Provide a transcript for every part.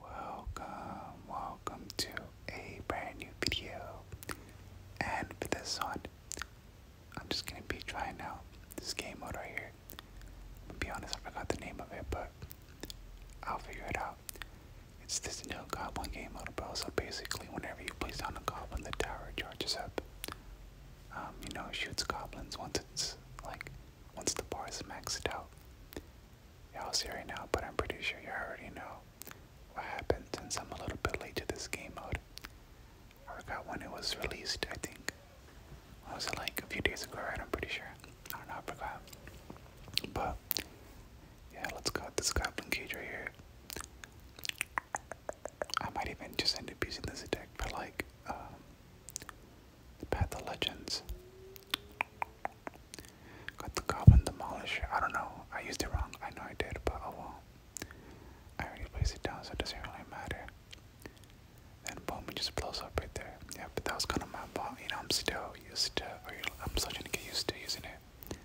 Welcome, welcome to a brand new video. And for this one, I'm just gonna be trying out this game mode right here. To be honest, I forgot the name of it, but I'll figure it out. It's this new goblin game mode, bro. So basically, whenever you place down a goblin, the tower charges up. Um, you know, shoots goblins once it's like once the bar is maxed out y'all see right now, but I'm pretty sure you already know what happened since I'm a little bit late to this game mode. I forgot when it was released, I think. What was it like? A few days ago, right? I'm pretty sure. I don't know, I forgot. But, yeah, let's go with this goblin cage right here. I might even just end up using this deck for like, um, Path of Legends. Got the Goblin Demolisher. I don't know. I used it wrong. I know I did, but oh well. I already placed it down, so it doesn't really matter. Then boom, it just blows up right there. Yeah, but that was kind of my fault. You know, I'm still used to, I'm still trying to get used to using it.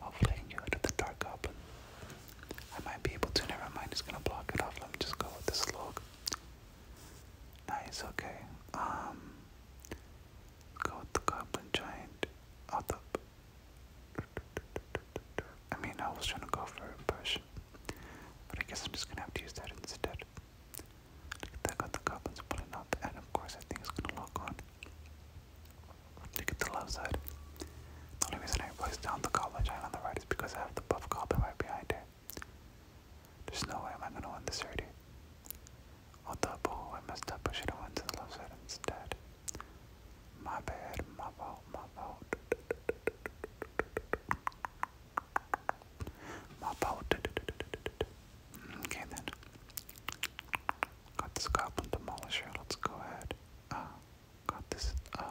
Hopefully, I can get rid of the Dark Goblin. I might be able to. Never mind. It's gonna block it off. Let me just go with this log. Nice, okay. Um the goblin giant. I mean I was trying to go for a push. But I guess I'm just gonna have to use that instead. Look at got the goblins pulling up and of course I think it's gonna lock on. Look at the left The only reason I placed down the goblin giant on the right is because I have the buff goblin right behind it. There's no way i am I gonna win this already. I'll double, I messed up, I should have went to the left side instead. My bad, my fault, my fault. My fault. Okay then. Got this goblin demolisher, let's go ahead. Uh, got this, uh,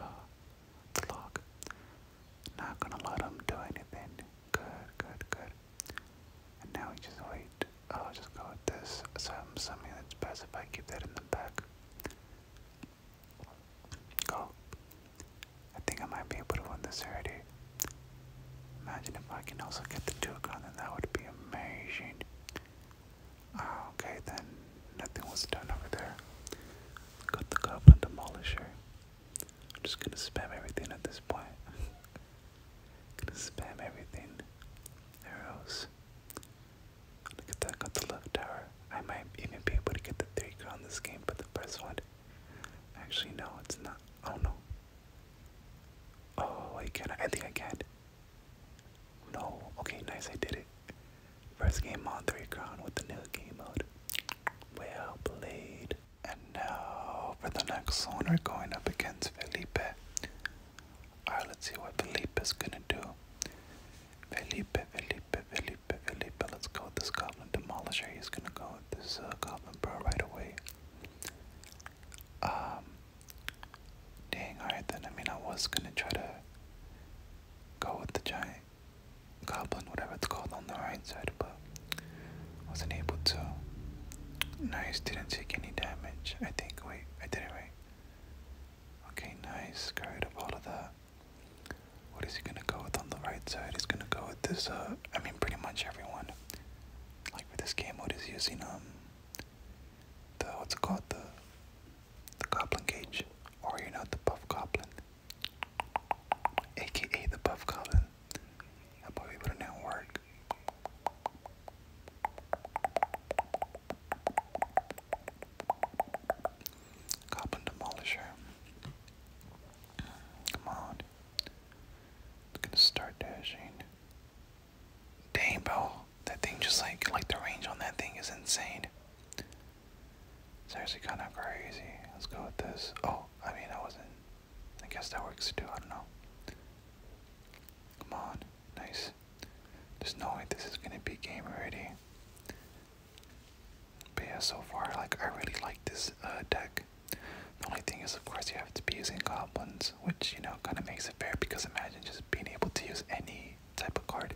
Look, not gonna let him do anything. Good, good, good. And now we just wait. Oh, just go with this. some I'm best if I keep that in the back. Oh, I think I might be able to win this already. Imagine if I can also get the two gun, then that would be amazing. Oh, okay, then nothing was done over there. Got the goblin demolisher. I'm just gonna spam everything at this point. gonna spam everything. Arrows. Look at that, got the left tower. I might even be able to get the three crown this game, but the first one. Actually, no, it's not. Oh no. Oh, I can. I think I can. No. Okay, nice. I did it. First game on three crown with the new game mode. Well played. And now for the next one, we're going up against Felipe. Alright, let's see what Felipe is gonna do. Felipe, Felipe, Felipe, Felipe. Let's go with this Goblin Demolisher. He's gonna go with this uh, Goblin Bro right away. Um, dang, alright then. I mean, I was gonna try to go with the Giant goblin, whatever it's called, on the right side, but wasn't able to. Nice, didn't take any damage. I think, wait, I did it right. Okay, nice, Carried up all of that. What is he gonna go with on the right side? He's gonna go with this, uh, I mean, pretty much everyone. Like for this game mode is using, um, the, what's it called? The, the goblin cage. Or, you are not the buff goblin aka the Buff Goblin. That boy be putting in work. Goblin Demolisher. Come on. we gonna start dashing. Dang, That thing just like, like the range on that thing is insane. It's actually kind of crazy. Let's go with this. Oh, I mean, I wasn't. I guess that works too. I don't know. Come on. Nice. There's no way this is gonna be game ready. But yeah, so far, like, I really like this uh, deck. The only thing is, of course, you have to be using goblins, which, you know, kind of makes it fair because imagine just being able to use any type of card.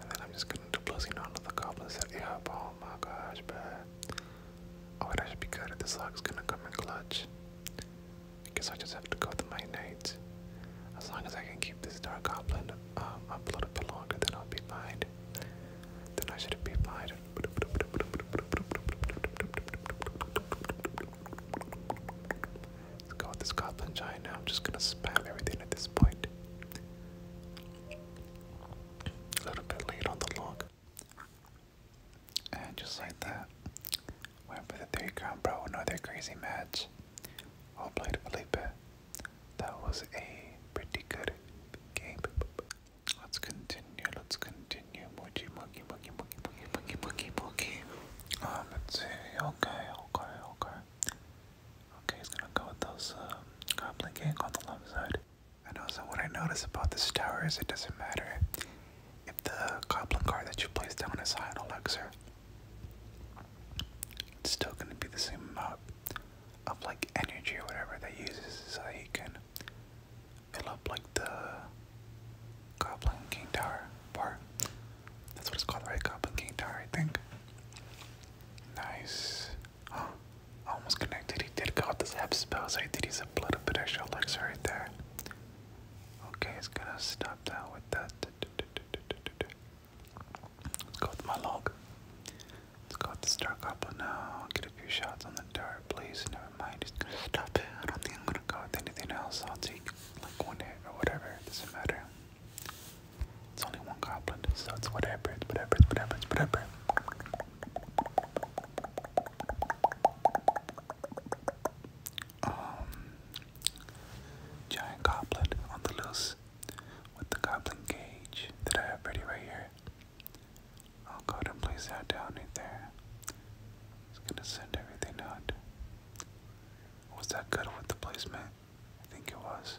And then I'm just gonna do blitzing onto the goblin set. up. oh my gosh, bad. Oh, that should be good if this is gonna come in clutch. I guess I just have to go with my knights. As long as I can keep this dark goblin um, up a little bit longer, then I'll be fine. Then I should be fine. Let's go with this goblin giant now. I'm just gonna spam everything at this point. A little bit late on the log. And just like that, went for the three count, bro. Another crazy match. All played Felipe. That was a pretty good game. Let's continue. Let's continue. Moji, monkey, monkey, monkey, monkey, monkey, monkey, um, let's see. Okay, okay, okay. Okay, he's gonna go with those um, Goblin Gang on the left side. And also, what I notice about this tower is it doesn't matter if the Goblin card that you place down is high on Elixir. It's still gonna be the same amount of like energy or whatever that uses so that you can fill up like the Goblin King Tower bar. That's what it's called, right? Goblin King Tower, I think. Nice. Oh, I almost connected. He did go with this half spell, so he did use a little bit extra elixir right there. Okay, he's gonna stop that with that. Let's go with my log. Let's go with the Star Goblin now. Get a few shots on the dart, please. Never mind, he's gonna stop it. I don't think I'm gonna go with anything else. I'll take like one hit or whatever. It doesn't matter. It's only one goblin, so it's whatever, it's whatever, it's whatever, it's whatever. Um, giant goblin on the loose with the goblin cage that I have ready right here. I'll go ahead and place that down right there. Just gonna send everything out. Was that good with the placement? I think it was.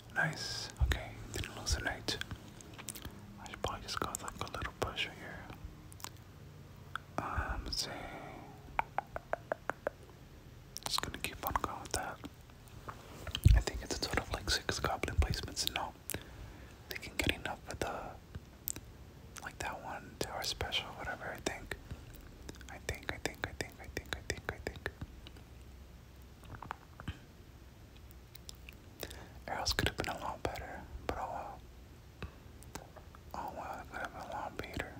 Nice. Okay, didn't lose a knight. I should probably just go like a little pusher here. Um, let Just gonna keep on going with that. I think it's a total of like six goblin placements. No, they can get enough with the like that one tower special, whatever. I think. I think. I think. I think. I think. I think. Arrows could have been a lot better, but oh well. Oh well, could have been a lot better.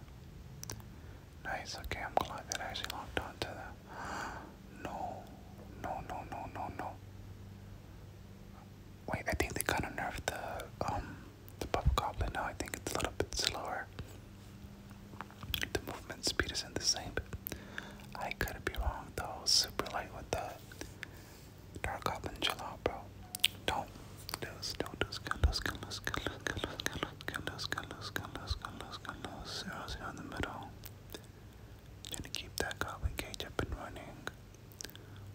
Nice, okay, that actually locked onto that. No, no, no, no, no, no. Wait, I think they kind of nerfed the, um, the Puff Goblin now. I think it's a little bit slower. The movement speed isn't the same. I could be wrong though. Super light with the dark up and chill out, bro. Don't lose, don't lose, can lose, can lose, can lose, can lose, can lose, can lose, can lose, can lose, can lose, can lose, zero zero in the middle. Gonna keep that goblin cage up and running.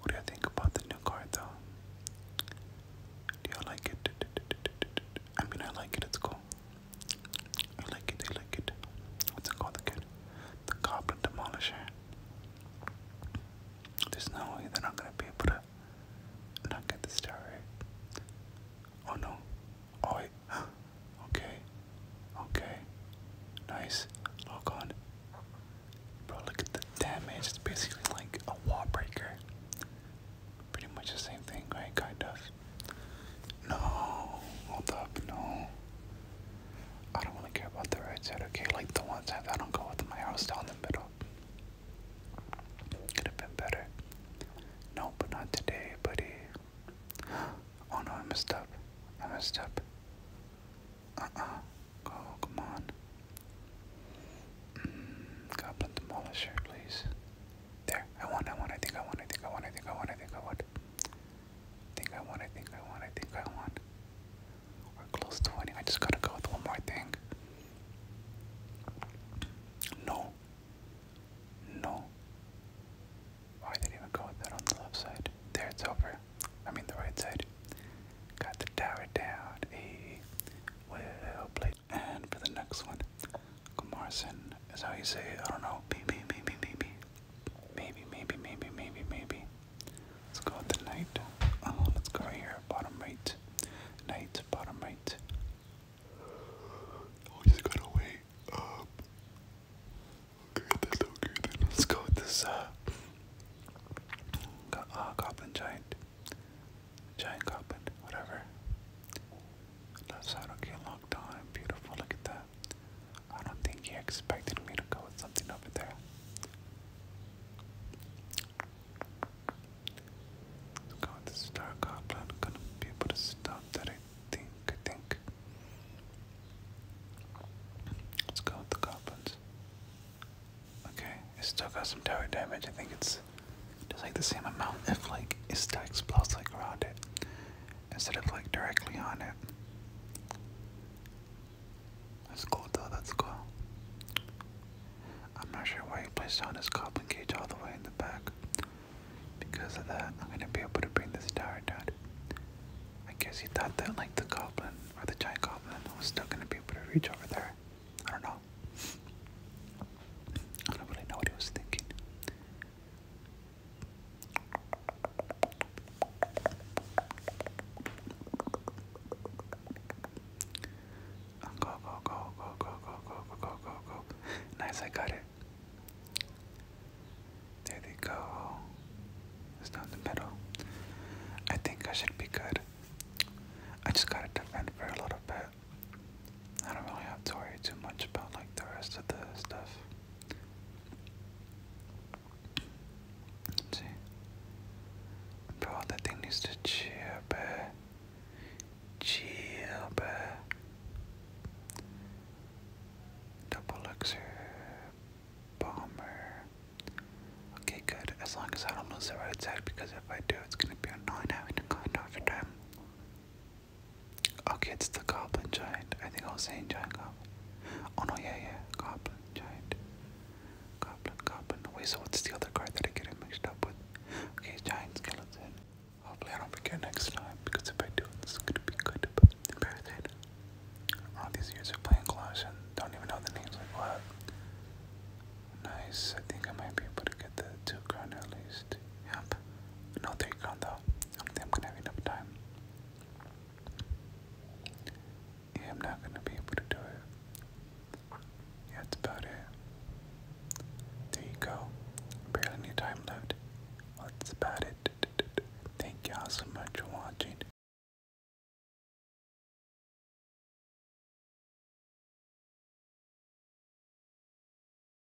What do you think about the new card though? Do you like it? I mean, I like it. It's cool. I like it, I like it. What's it called again? The Goblin Demolisher. There's no way they're not gonna be able to not get this tower Oh no. Oh okay. Okay. Nice. Lock on. Bro, look at the damage. It's basically like a wall breaker pretty much the same thing, right? Kind of. No, hold up, no. I don't really care about the right side, okay? Like the one side, I don't go with my house down the middle. Could have been better. No, but not today, buddy. Oh no, I messed up. I messed up. Uh-uh. Go, come on. Mm, Goblin Demolisher, please. There, I won, I won, I think I won, I think I won, I think I won, I think I won. I think I won, I think I won, I think I won. We're close to winning. I just gotta go with one more thing. No. No. Why oh, did I even go with that on the left side? There it's over. I mean the right side. Got the tower down. A well played and for the next one, Kumarsin is how you say, I don't know, maybe, maybe, maybe, maybe, maybe, maybe, maybe, maybe. Let's go with the knight. Uh, let's go here, bottom right. Knight, bottom right. Oh, just gotta wait um, Okay, that's okay then. Let's go with this, uh, go uh, giant. Giant goblin, whatever. That's how to get locked on. Beautiful, look at that. I don't think he expected me to go with something over there. let go with the Star Goblin. gonna be able to stop that, I I think. Let's go with the Goblins. Okay, it still got some tower damage. I think it's just like the same amount if like it stacks plus like around it instead of like directly on it. That's cool though, that's cool. I'm not sure why he placed down his goblin cage all the way in the back. Because of that, I'm gonna be able to bring this tower down. I guess he thought that like the goblin or the giant goblin was still gonna be able to reach over there. I don't know. I don't really know what he was thinking. Go, go, go, go, go, go, go, go, go, go, Nice, I got it. There they go. It's down the middle. I think I should be good. I just gotta defend for a little bit. I don't really have to worry too much about like the rest of the stuff. Let's see. Bro, thing needs to chill, bruh. Chill, bruh. Double elixir. Bomber. Okay, good. As long as I don't lose the right side, because if I do, it's gonna be annoying having to go off time. Okay, it's the goblin giant. I think I was saying giant goblin. Oh no, yeah, yeah, goblin giant. Goblin, goblin. Wait, so what's the other card that I get it mixed up with? Okay, giant skeleton. Hopefully I don't forget next time because if I do, this is gonna be good. But imperative. All these years of playing Clash and don't even know the names like what. Nice. I think I might be able to get the two crown at least. Yep. No three crown though. I don't gonna have enough time. I'm not gonna be able to do it. that's about it. There you go. Barely any time left. that's about it. Thank y'all so much for watching.